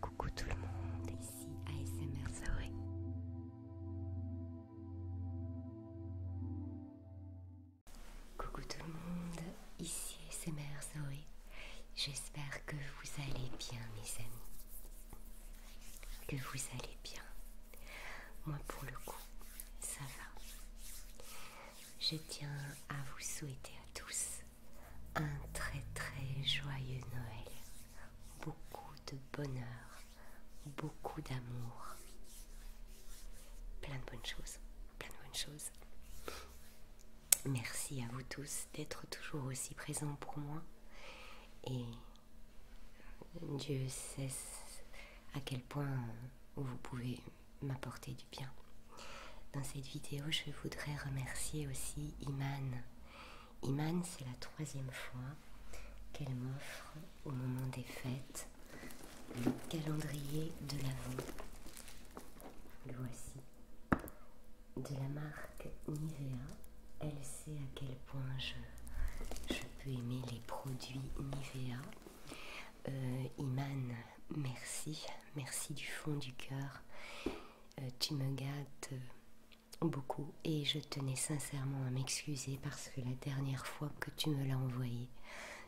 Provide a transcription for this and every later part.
Coucou tout le monde, ici ASMR Zoé. Coucou tout le monde, ici ASMR Zoé. J'espère que vous allez bien mes amis. Que vous allez bien. Moi pour le coup, ça va. Je tiens à vous souhaiter à tous un très très joyeux Noël, beaucoup de bonheur, beaucoup d'amour, plein de bonnes choses, plein de bonnes choses. Merci à vous tous d'être toujours aussi présents pour moi et Dieu sait à quel point vous pouvez m'apporter du bien. Dans cette vidéo, je voudrais remercier aussi Iman Iman, c'est la troisième fois qu'elle m'offre au moment des fêtes le calendrier de l'avant. Le voici. De la marque Nivea. Elle sait à quel point je, je peux aimer les produits Nivea. Imane, euh, Iman, merci, merci du fond du cœur. Euh, tu me gâtes euh, beaucoup et je tenais sincèrement à m'excuser parce que la dernière fois que tu me l'as envoyé,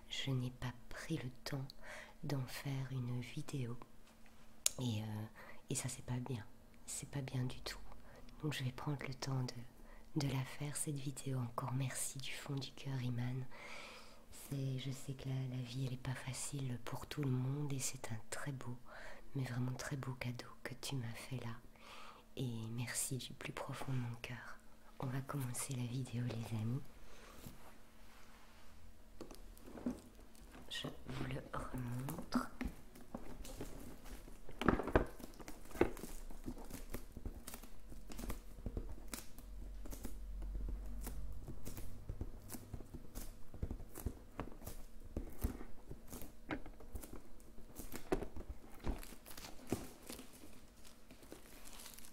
je n'ai pas pris le temps d'en faire une vidéo et, euh, ça c'est pas bien, c'est pas bien du tout. Donc je vais prendre le temps de, la faire cette vidéo. Encore merci du fond du cœur, Iman. Je sais que la, vie elle pas facile pour tout le monde et c'est un très beau mais vraiment très beau cadeau que tu m'as fait là. Et merci du plus profond de mon cœur. On va commencer la vidéo les amis. Je vous le remontre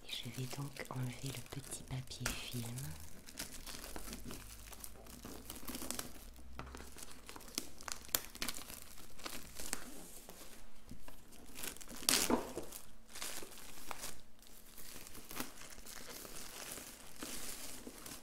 je vais donc enlever le petit papier film. Voici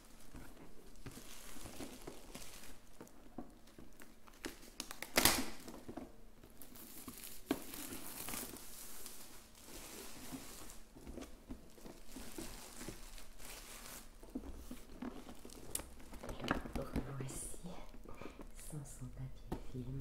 sans son papier film.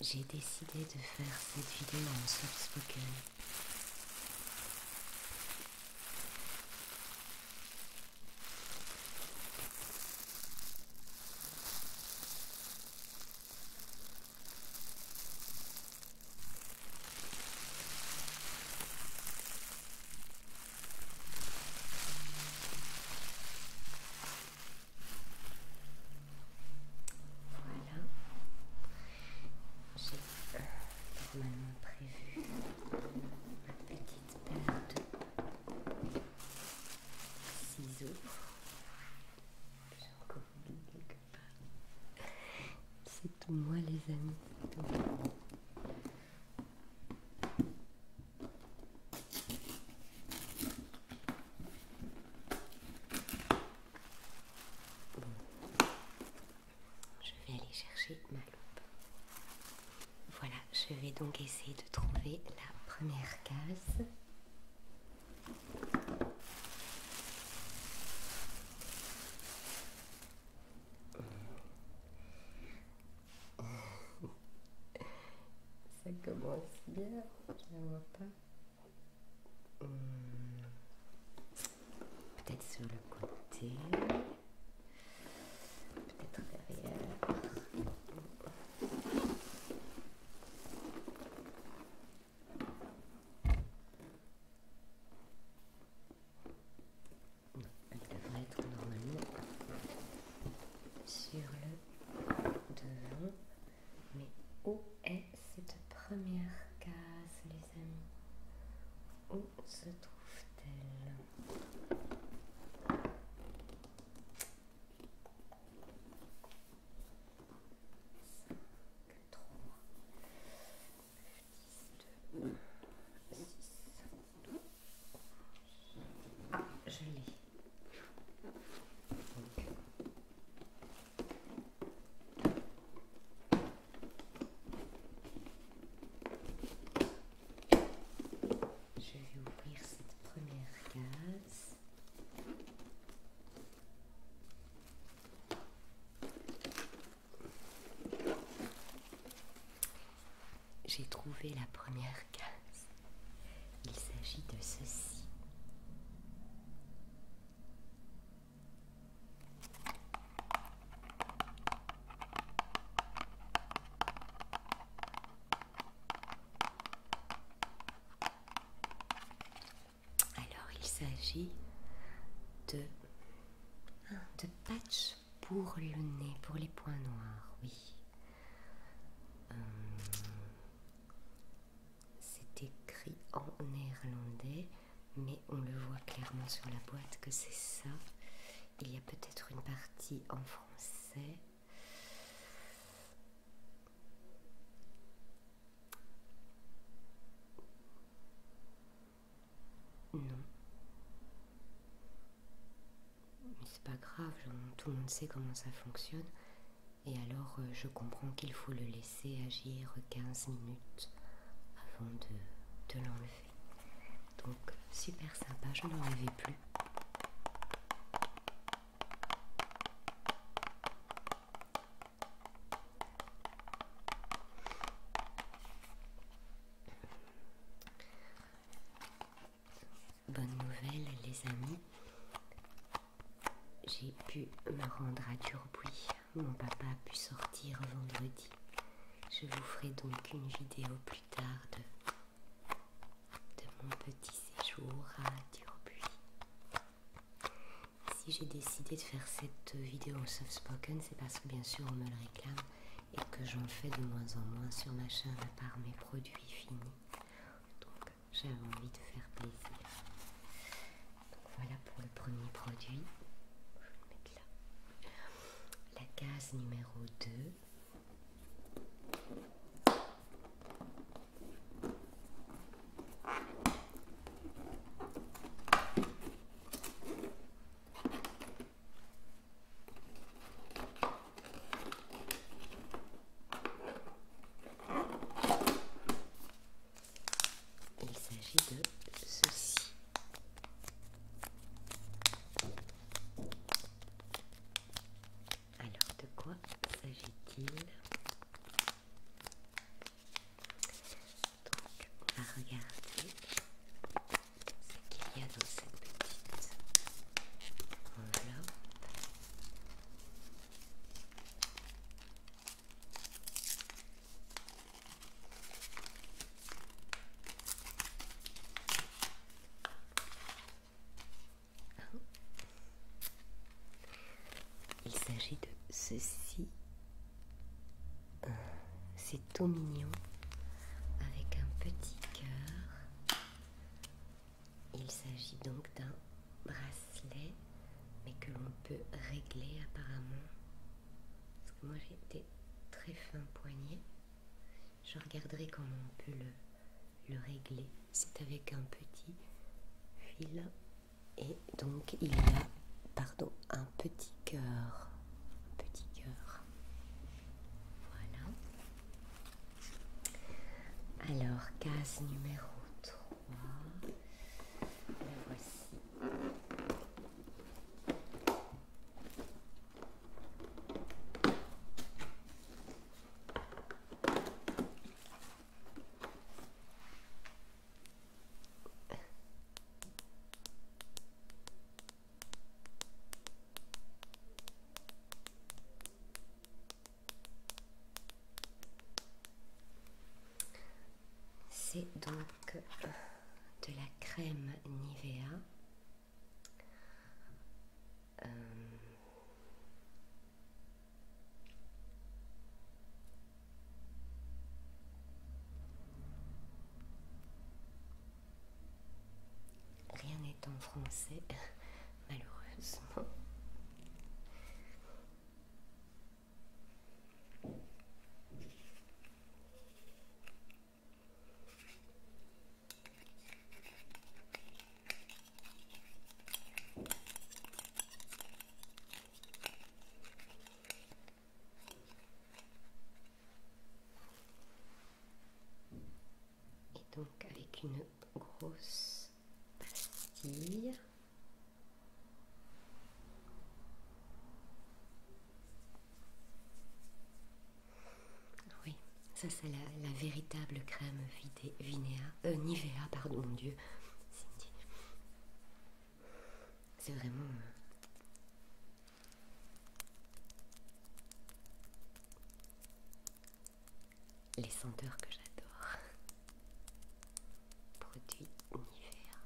J'ai décidé de faire cette vidéo en soft spoken. Voilà. J'ai normalement prévu ma petite paire de ciseaux. J'ai encore oublié quelque part. C'est tout moi les amis. Je vais aller chercher ma loupe. Voilà, je vais donc essayer de trouver la première case. Ça commence bien, je ne vois pas. Hmm. Peut-être sur le côté. Peut-être derrière. Elle devrait être normalement sur le devant. Mais où est cette première case, les amis Où se trouve-t-elle je Je vais ouvrir cette première case. J'ai trouvé la première case. Il s'agit de ceci. Alors il s'agit de, de patch pour le nez, pour les points noirs, oui. Euh, c'est écrit en néerlandais, mais on le voit clairement sur la boîte que c'est ça. Il y a peut-être une partie en français. Non. Mais c'est pas grave, tout le monde sait comment ça fonctionne. Et alors euh, je comprends qu'il faut le laisser agir 15 minutes avant de, l'enlever. Donc super sympa, je n'en avais plus. Bonne nouvelle les amis, j'ai pu me rendre à Durbuy. Mon papa a pu sortir vendredi. Je vous ferai donc une vidéo plus tard de, mon petit séjour à Durbuy. Si j'ai décidé de faire cette vidéo en soft spoken, c'est parce que bien sûr on me le réclame et que j'en fais de moins en moins sur ma chaîne à part mes produits finis. Donc j'ai envie de faire plaisir. Donc voilà pour le premier produit. Je vais le mettre là. La case numéro 2. Il s'agit de ceci. Alors de quoi s'agit-il donc, on va regarder ce qu'il y a dans cette petite enveloppe. Oh. Il s'agit de ceci euh, c'est tout mignon avec un petit cœur. Il s'agit donc d'un bracelet, mais que l'on peut régler apparemment. moi j'ai des très fin poignet Je regarderai comment on peut le, régler. C'est avec un petit fil. Et donc il y a, pardon, petit cœur, petit cœur. Voilà. Alors, case numéro 3. La voici. C'est donc euh, de la crème Nivea. Euh, Rien n'est en français, malheureusement. Et donc avec une grosse pastille. Ah oui, ça c'est la, véritable crème vidée euh, Nivea, pardon mon Dieu, C'est vraiment euh, les senteurs que j'adore. Produits univers.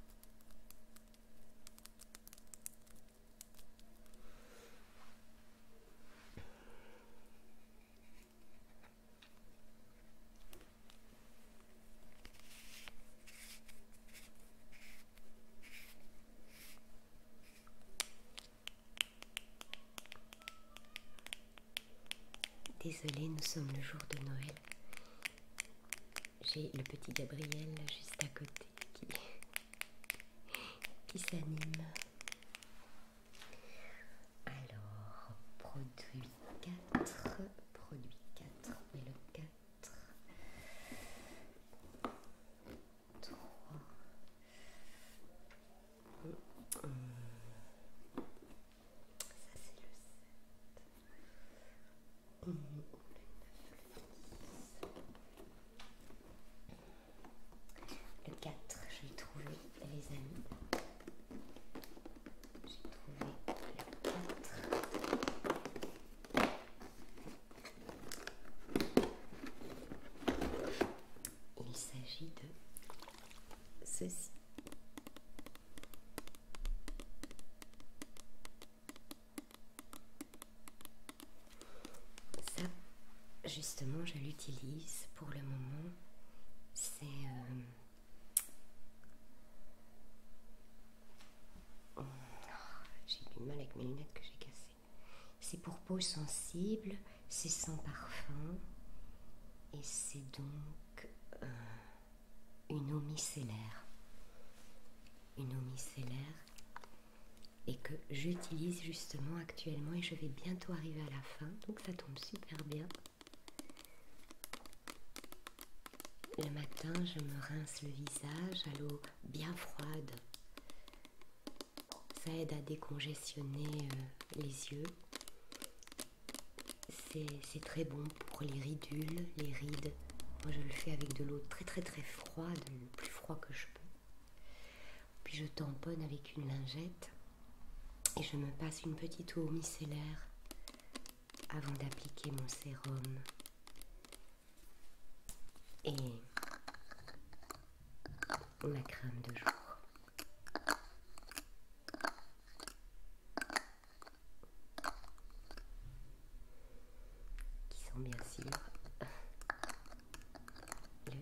Désolée, nous sommes le jour de Noël. J'ai le petit Gabriel juste à côté qui, s'anime. Alors, produit 4, produit 4, et le 4 euh, ça c'est le 7 mmh. le 4 j'ai trouvé les amis j'ai trouvé le 4 il s'agit de ceci. Ça, justement, je l'utilise pour le moment. C'est euh, Oh, j'ai du mal avec mes lunettes que j'ai cassées. C'est pour peau sensible, c'est sans parfum et c'est donc euh, une eau micellaire. Une eau micellaire et que j'utilise justement actuellement et je vais bientôt arriver à la fin donc ça tombe super bien le matin, je me rince le visage à l'eau bien froide. Ça aide à décongestionner euh, les yeux. C'est très bon pour les ridules, les rides. Moi, je le fais avec de l'eau très très très froide, le plus froid que je peux. Puis je tamponne avec une lingette et je me passe une petite eau micellaire avant d'appliquer mon sérum. Et ma crème de jour. Qui sont bien sûr le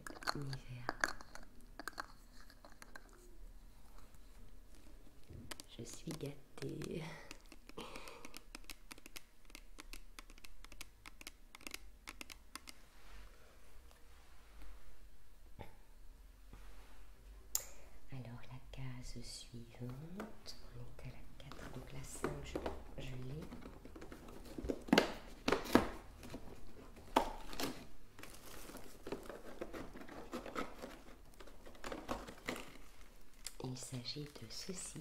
Je suis gâtée. Alors la case suivante, on est à la 4, donc la 5 je l'ai. Il s'agit de ceci.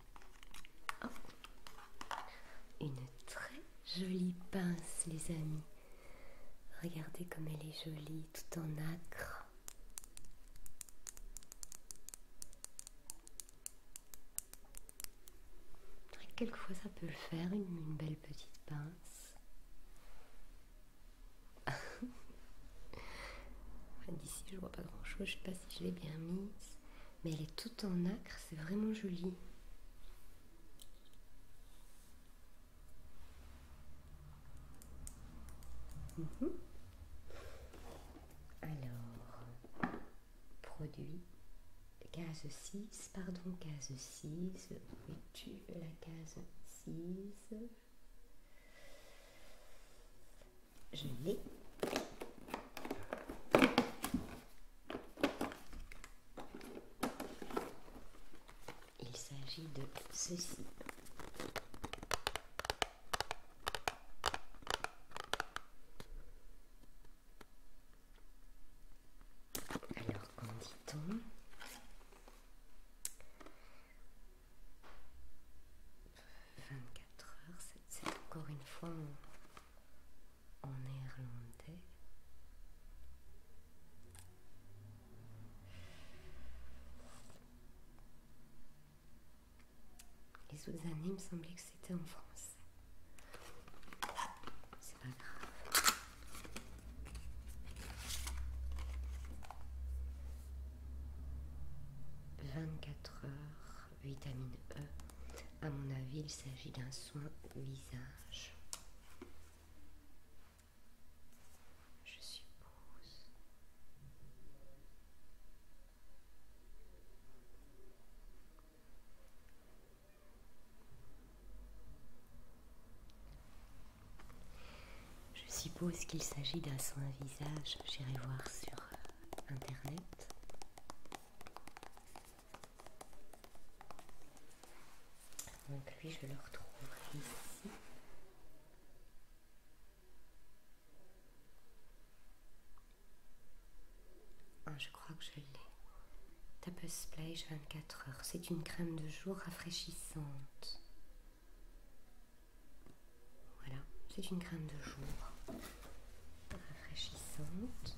Oh. Une très jolie pince, les amis. Regardez comme elle est jolie, tout en acre. Quelquefois, ça peut le faire, une, une belle petite pince. D'ici, je vois pas grand chose. Je sais pas si je l'ai bien mise mais elle est toute en acre, c'est vraiment joli. Mhm. Alors, produit, case 6, pardon, case 6, où tu la case 6 Je l'ai. Il s'agit de ceci. Alors, qu'en dit-on Vingt-quatre heures, c'est encore une fois, en néerlandais. Les autres années, il me semblait que c'était en France. Ah, c'est pas grave. Vingt-quatre heures vitamine E. À mon avis, il s'agit d'un soin visage. Je suppose. Je suppose qu'il s'agit d'un soin visage. J'irai voir sur euh, internet. Donc lui, je le retrouverai ici. Ah, je crois que je l'ai. Tape Splash 24 heures. C'est une crème de jour rafraîchissante. Voilà, c'est une crème de jour rafraîchissante.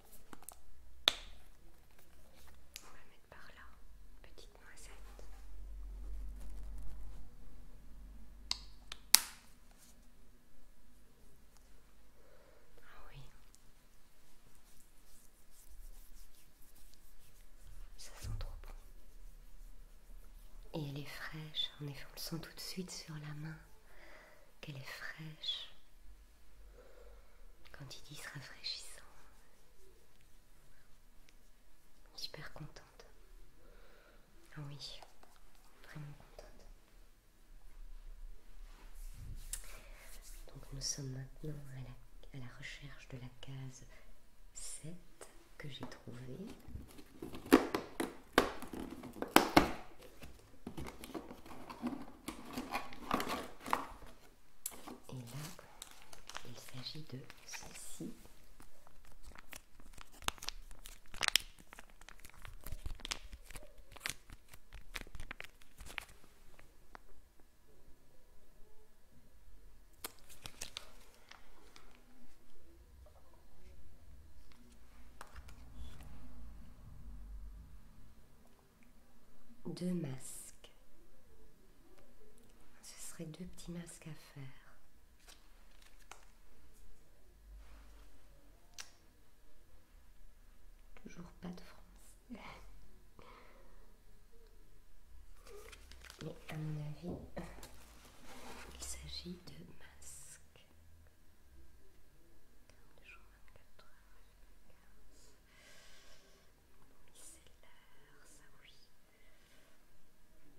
On va mettre par là petite noisette. Ah oui. Ça sent trop bon. Et elle est fraîche. En effet, on le sent tout de suite sur la main qu'elle est fraîche. Quand dit, se rafraîchissant, super contente. Ah oui, vraiment contente. Donc nous sommes maintenant à la, à la recherche de la case 7 que j'ai trouvée. Et là, il s'agit de ceci deux masques. Ce serait deux petits masques à faire. Toujours pas de France. Mais à mon avis, il s'agit de masques c'est l'heure, ça oui.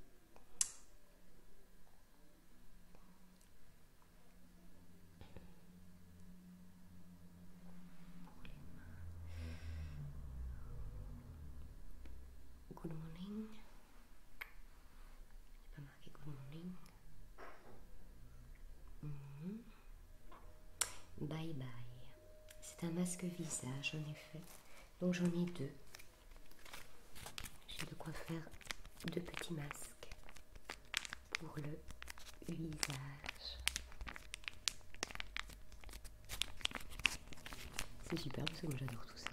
Good morning. Il n'y a pas marqué good morning. mon mm-hmm. ligne. Bye bye. C'est un masque visage en effet. Donc j'en ai deux. J'ai de quoi faire deux petits masques pour le visage. C'est super parce que j'adore tout ça.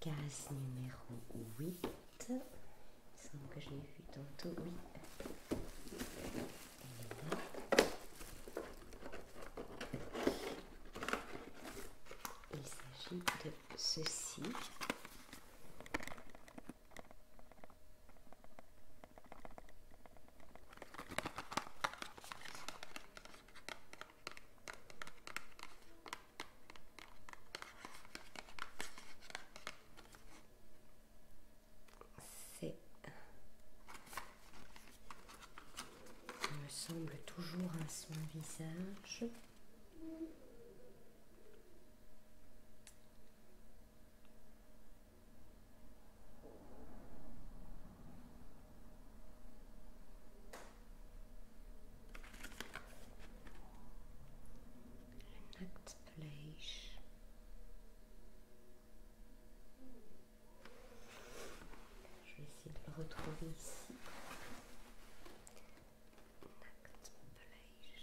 Case numéro 8. Il semble que j'ai vu tantôt. Il s'agit de ceci. C'est, me semble, toujours à son visage. Een nakt Je vais essayer de le retrouver ici. Nactplage.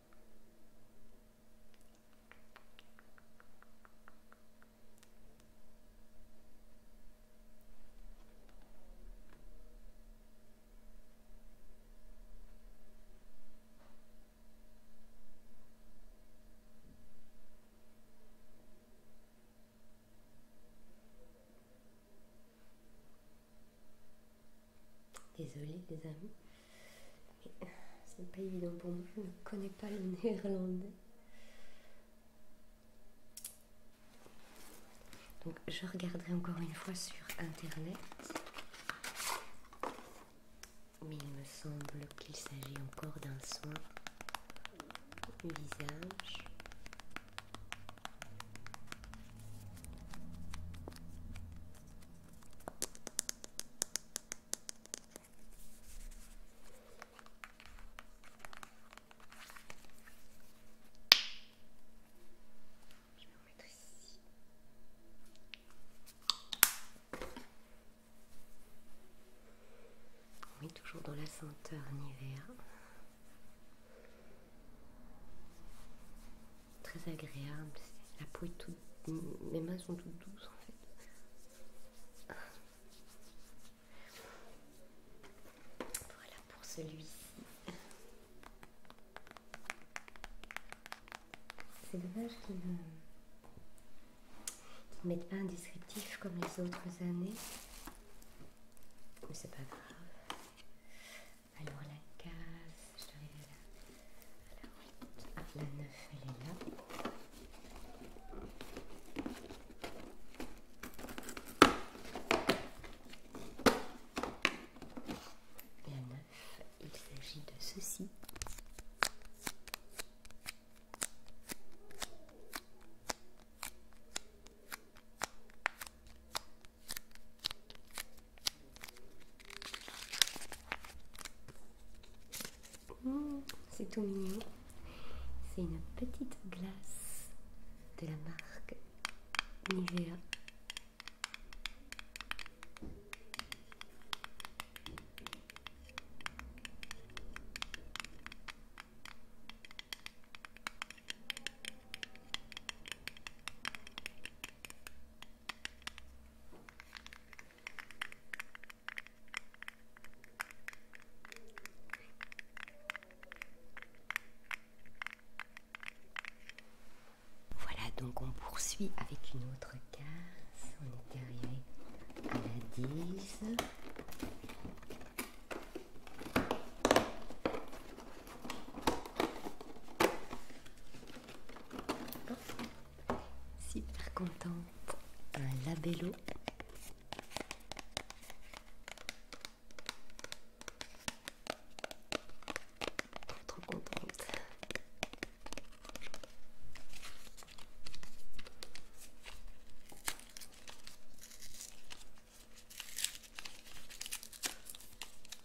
désolé les amis. Mais ce n'est pas évident pour moi, je ne connais pas le néerlandais. Donc je regarderai encore une fois sur internet. Mais il me semble qu'il s'agit encore d'un soin visage. Je On est toujours dans la senteur en hiver très agréable. La peau est toute. Mes mains sont toutes douces en fait. Voilà pour celui-ci. C'est dommage qu'il euh, ne pas un descriptif comme les autres années. Mais c'est pas grave. Alors la case, je là. Alors, la 9, elle est là. La 9, il s'agit de ceci. Oh, c'est tout mignon. C'est une petite glace de la marque Nivea. Voilà, donc on poursuit avec une autre case. On est arrivé à la 10. Super content Un labello. Trop contente.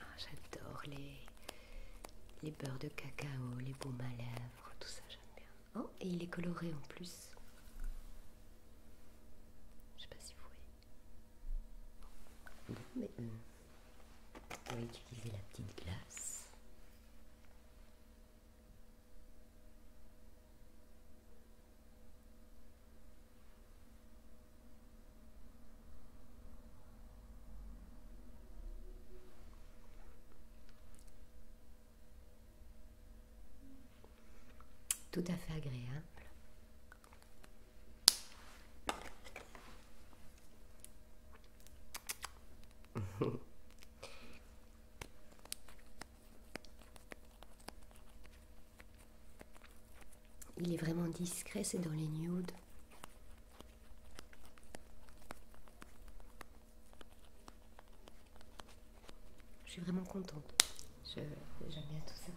Ah, j'adore les, les beurres de cacao, les baumes à lèvres, tout ça j'aime bien. Oh, et il est coloré en plus. Je sais pas si vous voyez. Euh, on va utiliser la petite glace tout à fait agréable. Il est vraiment discret, c'est dans les nudes. Je suis vraiment contente. J'aime bien tout ça.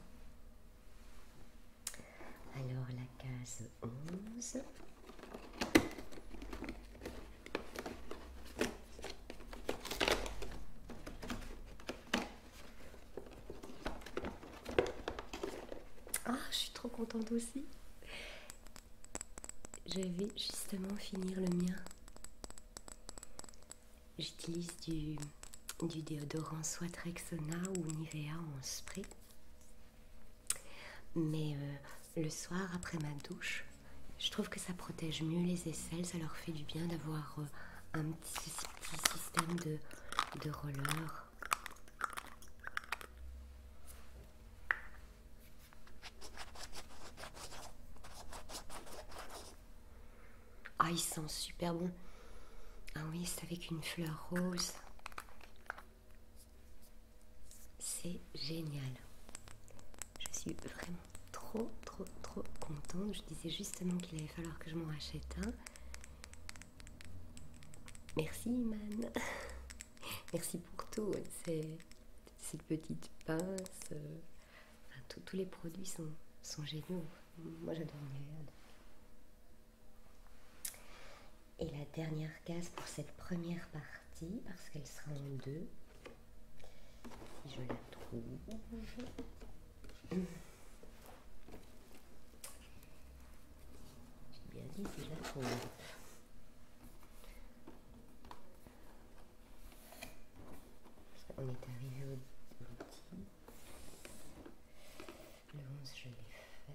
Alors la case 11. Ah, je suis trop contente aussi. Je vais justement finir le mien. J'utilise du, déodorant soit Trexona ou Nivea en spray. Mais euh, le soir, après ma douche, je trouve que ça protège mieux les aisselles. Ça leur fait du bien d'avoir euh, un petit, système de, de roller. Ah, il sent super bon. Ah oui, c'est avec une fleur rose. C'est génial. Je suis vraiment trop, trop, trop contente. Je disais justement qu'il allait falloir que je m'en rachète un. Merci Iman. Merci pour tout. Ces, petites pinces. Euh, tous les produits sont, géniaux. Moi j'adore Et la dernière case pour cette première partie, parce qu'elle sera en deux. Si je la trouve bien dit déjà qu'on On est arrivé au, dix. Le onze, je l'ai fait.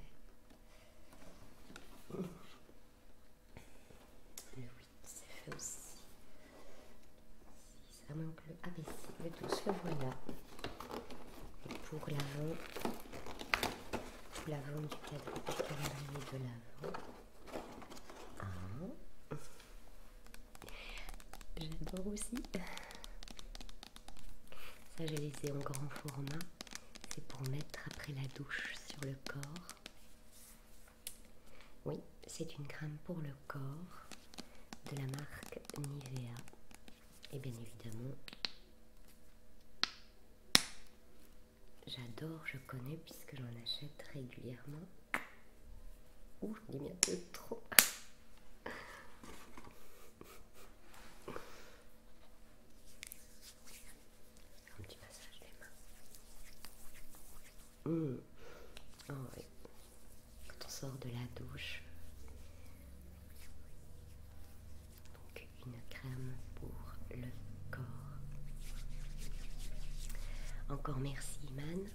Le 8, c'est fait aussi. Ça ah, manque le ABC, le doux, le voilà. pour l'avant, pour l'avant du calendrier de l'avant. Ah. J'adore aussi. Ça, je laissé ai en grand format. C'est pour mettre après la douche sur le corps. Oui, c'est une crème pour le corps de la marque Nivea et bien évidemment j'adore, je connais puisque j'en achète régulièrement. ou j'en ai bien un peu trop. un petit massage des mains. Oh, quand on sort de la douche. Donc une crème pour le corps. Encore merci Iman.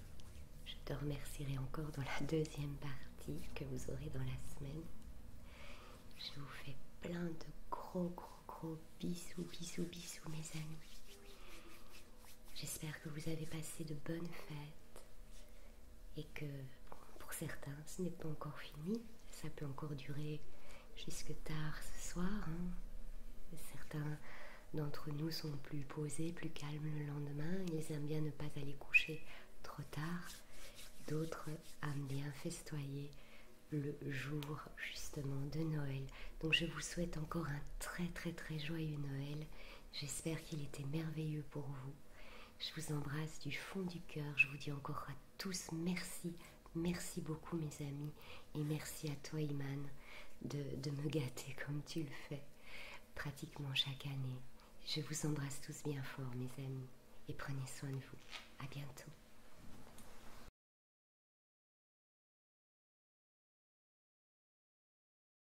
Je te remercierai encore dans la deuxième partie que vous aurez dans la semaine. Je vous fais plein de gros gros gros bisous bisous bisous mes amis. J'espère que vous avez passé de bonnes fêtes et que pour certains ce n'est pas encore fini. Ça peut encore durer jusque tard ce soir. Hein. Certains d'entre nous sont plus posés, plus calmes le lendemain. Ils aiment bien ne pas aller coucher trop tard. D'autres aiment bien festoyer le jour justement de Noël. Donc je vous souhaite encore un très très très joyeux Noël J'espère qu'il était merveilleux pour vous. Je vous embrasse du fond du cœur. Je vous dis encore à tous merci. Merci beaucoup mes amis. Et merci à toi Iman de, me gâter comme tu le fais pratiquement chaque année. Je vous embrasse tous bien fort mes amis. Et prenez soin de vous. À bientôt.